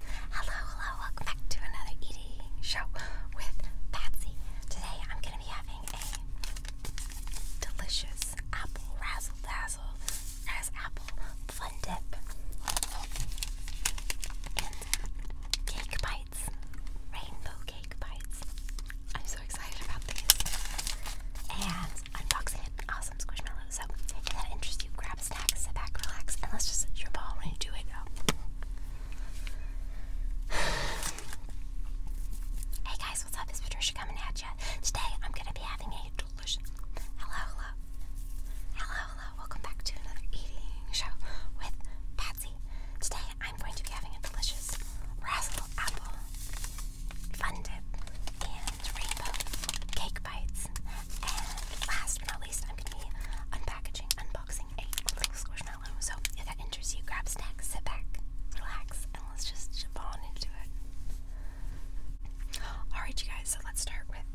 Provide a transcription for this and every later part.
Hello, hello, welcome back to another eating show with Patsy. Today I'm going to be having a delicious apple razzle dazzle as apple fun dip cake bites, rainbow cake bites. I'm so excited about these. And unboxing an awesome squishmallow. So if that interests you, grab a snack, sit back, relax, and let's just jump ball when you do it. hey guys, what's up? It's Patricia coming at you. Today I'm gonna be having a delicious. Hello, hello, hello, hello. Welcome back to another eating show with Patsy. Today I'm going to be having a delicious razzle apple fun and cake bites, and last but not least, I'm gonna be unpackaging, unboxing a little squishmallow. So if that interests you, grab snacks, sit back, relax, and let's just jump on into it. Alright, you guys, so let's start with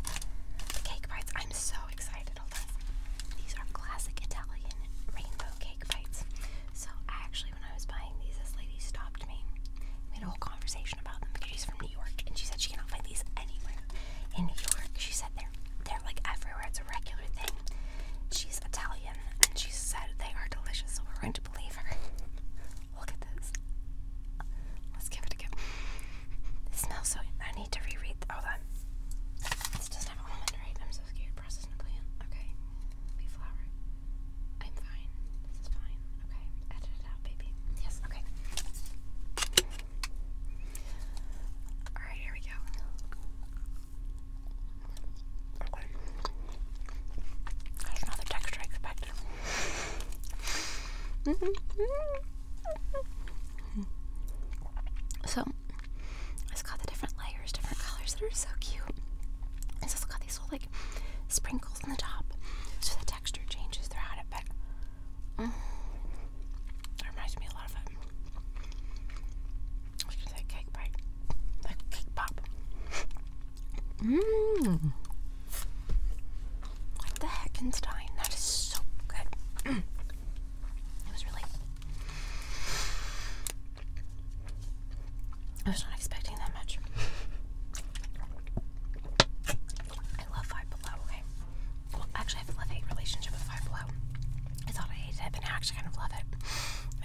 the cake bites. I'm so excited, hold on. These are classic Italian rainbow cake bites. So, I actually, when I was buying these, this lady stopped we had a whole conversation about them because she's from New York and she said she cannot find these anywhere in New York. She said they're they're like everywhere. It's a regular thing. She's Italian and she said they are delicious, so we're going to believe her. Look at this. Let's give it a go. smells so. I need to reread. Hold on. This doesn't have almond, right? I'm so scared. Processed Napoleon. Okay. Wheat flour. I'm fine. This is fine. Okay. Edit it out, baby. Yes, okay. Alright, here we go. Okay. There's another texture I expected. so, it's got the different layers, different colors that are so cute. It's also got these little, like, sprinkles on the top, so the texture changes throughout it. But mm, reminds me a lot of it. Um, I say cake bite, like cake pop. Mmm. What the Heckenstein? That is so good. it was really I was not expecting that much. I love Five Below, okay? Well, actually, I have a love-hate relationship with Five Below. I thought I hated it, but now I actually kind of love it.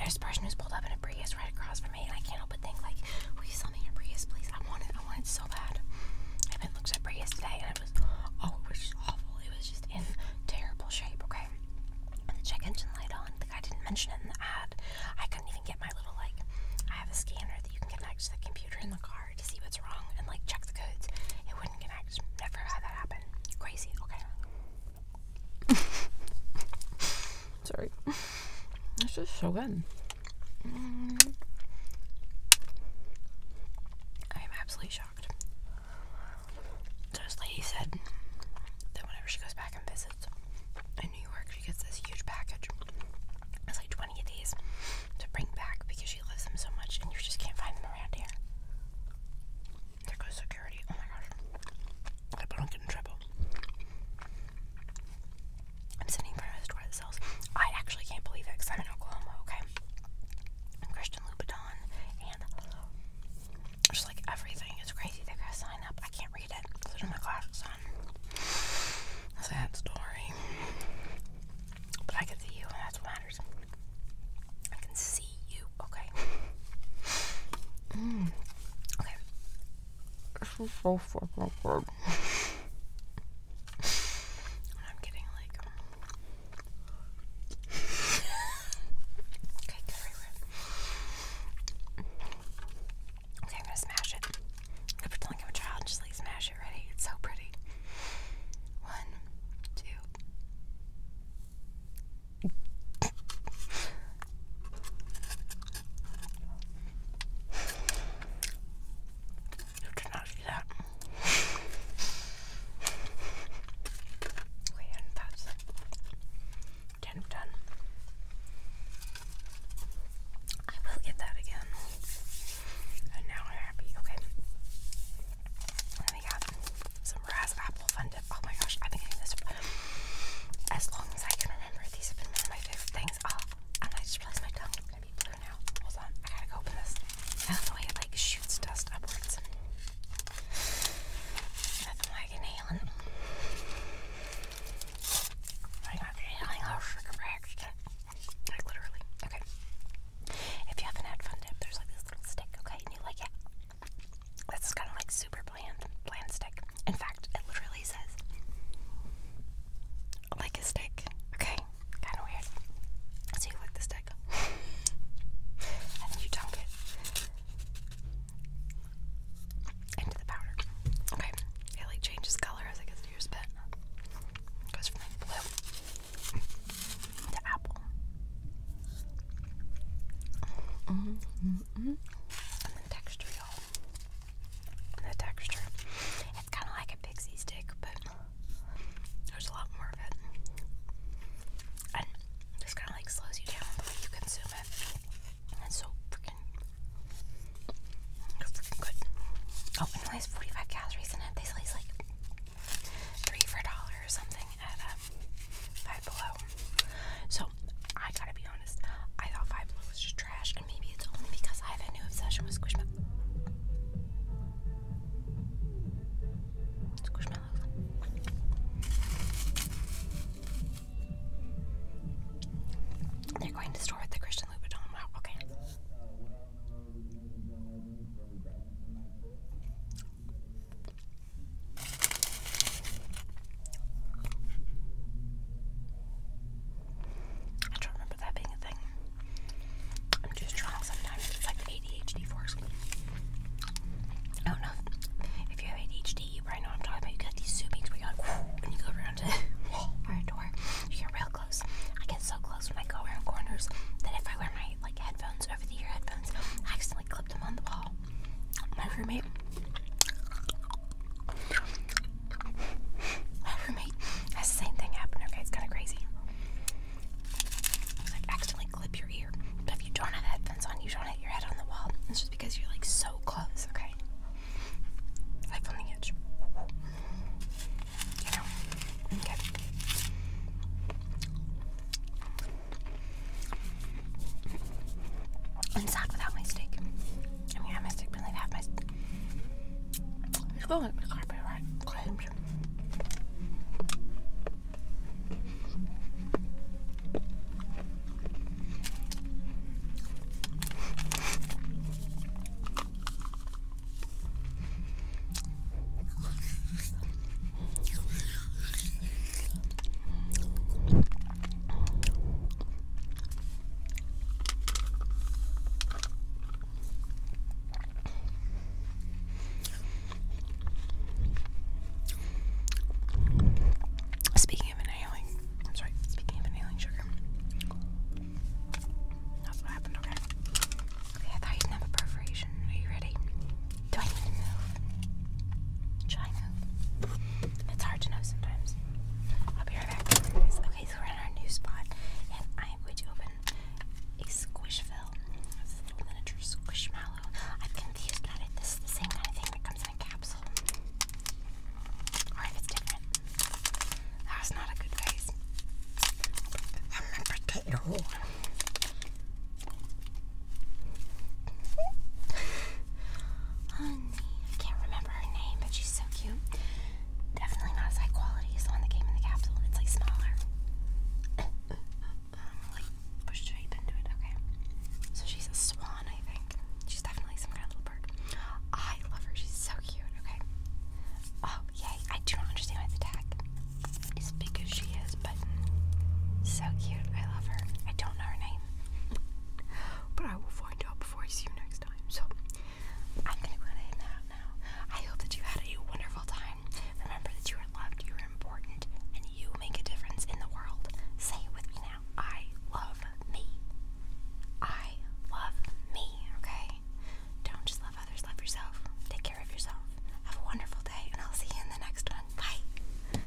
There's a person who's pulled up in a Prius right across from me, and I can't help but think, like, will you sell me your Prius, please? I want it. I want it so bad. I haven't looked at Prius today, and it was, oh, it was just awful. It was just in terrible shape, okay? the check engine light on. The guy didn't mention it in the ad. I couldn't even get my little like. I have a scanner that you can connect to the computer in the car to see what's wrong and like check the codes. It wouldn't connect. Never had that happen. Crazy. Okay. Sorry. That's just so good. I am absolutely shocked. So this lady said that whenever she goes back and visits in New York. She gets this huge package. It's like 20 of these to bring back because she loves them so much and you just can't find them around here. There goes security. Oh my gosh. I hope not get in trouble. I'm sitting in front of a store that sells. I actually can't believe it because I'm in Oklahoma, okay? Christian Louboutin and like everything. It's crazy. They gotta sign up. I can't read it. So my glasses on. Sad story. But I can see you, that's what matters. I can see you. Okay. Mm. Okay. This is so fucking good. I'm getting like Cake everywhere. Okay, I'm gonna smash it. I'm gonna pretend a child just like smash it ready. It's so pretty. One, two. You cannot see that and that's 10 of 10. I will get that again. And now I'm happy. Okay. And we got some Raz Apple Fun Dip. Oh my gosh, I've been eating this as long as I can remember. These have been one of my favorite things. Oh, and I just realized my tongue is going to be blue now. Hold on. I gotta go open this. I don't like shoots dust upwards. Nothing like inhaling. I got inhaling all sugar reaction. Like literally. Okay. If you haven't had fun dip, there's like this little stick, okay? And you like it. That's kind of like super bland, bland stick. In fact, it literally says like a stick, okay? Kind of weird. So you lick the stick. and then you dunk it into the powder. Okay. It like changes color as it gets to spit. goes from blue to apple. Mm -hmm, -hmm. And the texture, y'all. The texture it's kind of like a pixie stick, but there's a lot more of it. And this kind of like slows you down you consume it. it's so freaking, freaking good. Oh, and 45 calories in it. They say it's like three for a dollar or something at um, Five Below. So I gotta be honest, I thought Five Below was just trash, and maybe it's only because I have a new obsession with Squishmallow. They're going to store at the Christian Louboutin. okay. I don't remember that being a thing. I'm too strong sometimes. It's like ADHD force. I do oh, If you have ADHD, you probably know what I'm talking about. You got these zoomings where you're like, whoo, and you go around to our door. You get real close. I get so close when I go around corners that if I wear my like headphones, over the ear headphones, I accidentally clip them on the wall. My roommate my roommate has the same thing happened. Okay, it's kind of crazy. It's like accidentally clip your ear. But if you don't have headphones on, you don't hit your head on the wall. It's just because you're like so close, okay? Like on the edge. You know? Okay. i without my steak. I mean, I must have my. It's going like the copyright claims. Speaking of inhaling, I'm speaking of inhaling sugar. That's what happened, okay? Okay, I thought you did have a perforation. Are you ready? Do I need to move? Should I move? It's hard to know sometimes. I'll be right back. Okay, so we're in our new spot, and I'm going to open a Squishville. It's miniature Squishmallow. I'm confused about it. This is the same kind of thing that comes in a capsule. Or if it's different. That was not a good face. I'm a potato. I can't remember her name, but she's so cute. Definitely not as high quality as the one that came in the capsule. It's like smaller. Um, like push straight into it, okay? So she's a swan, I think. She's definitely some kind of little bird. I love her, she's so cute, okay? Oh, yay. I do not understand why the tag is big as she is, but so cute. I love her. I don't know her name but I will find out before I see you next time. So I'm gonna go ahead and now. I hope that you had a wonderful time. Remember that you are loved, you are important, and you make a difference in the world. Say it with me now. I love me. I love me, okay? Don't just love others, love yourself. Take care of yourself. Have a wonderful day, and I'll see you in the next one. Bye.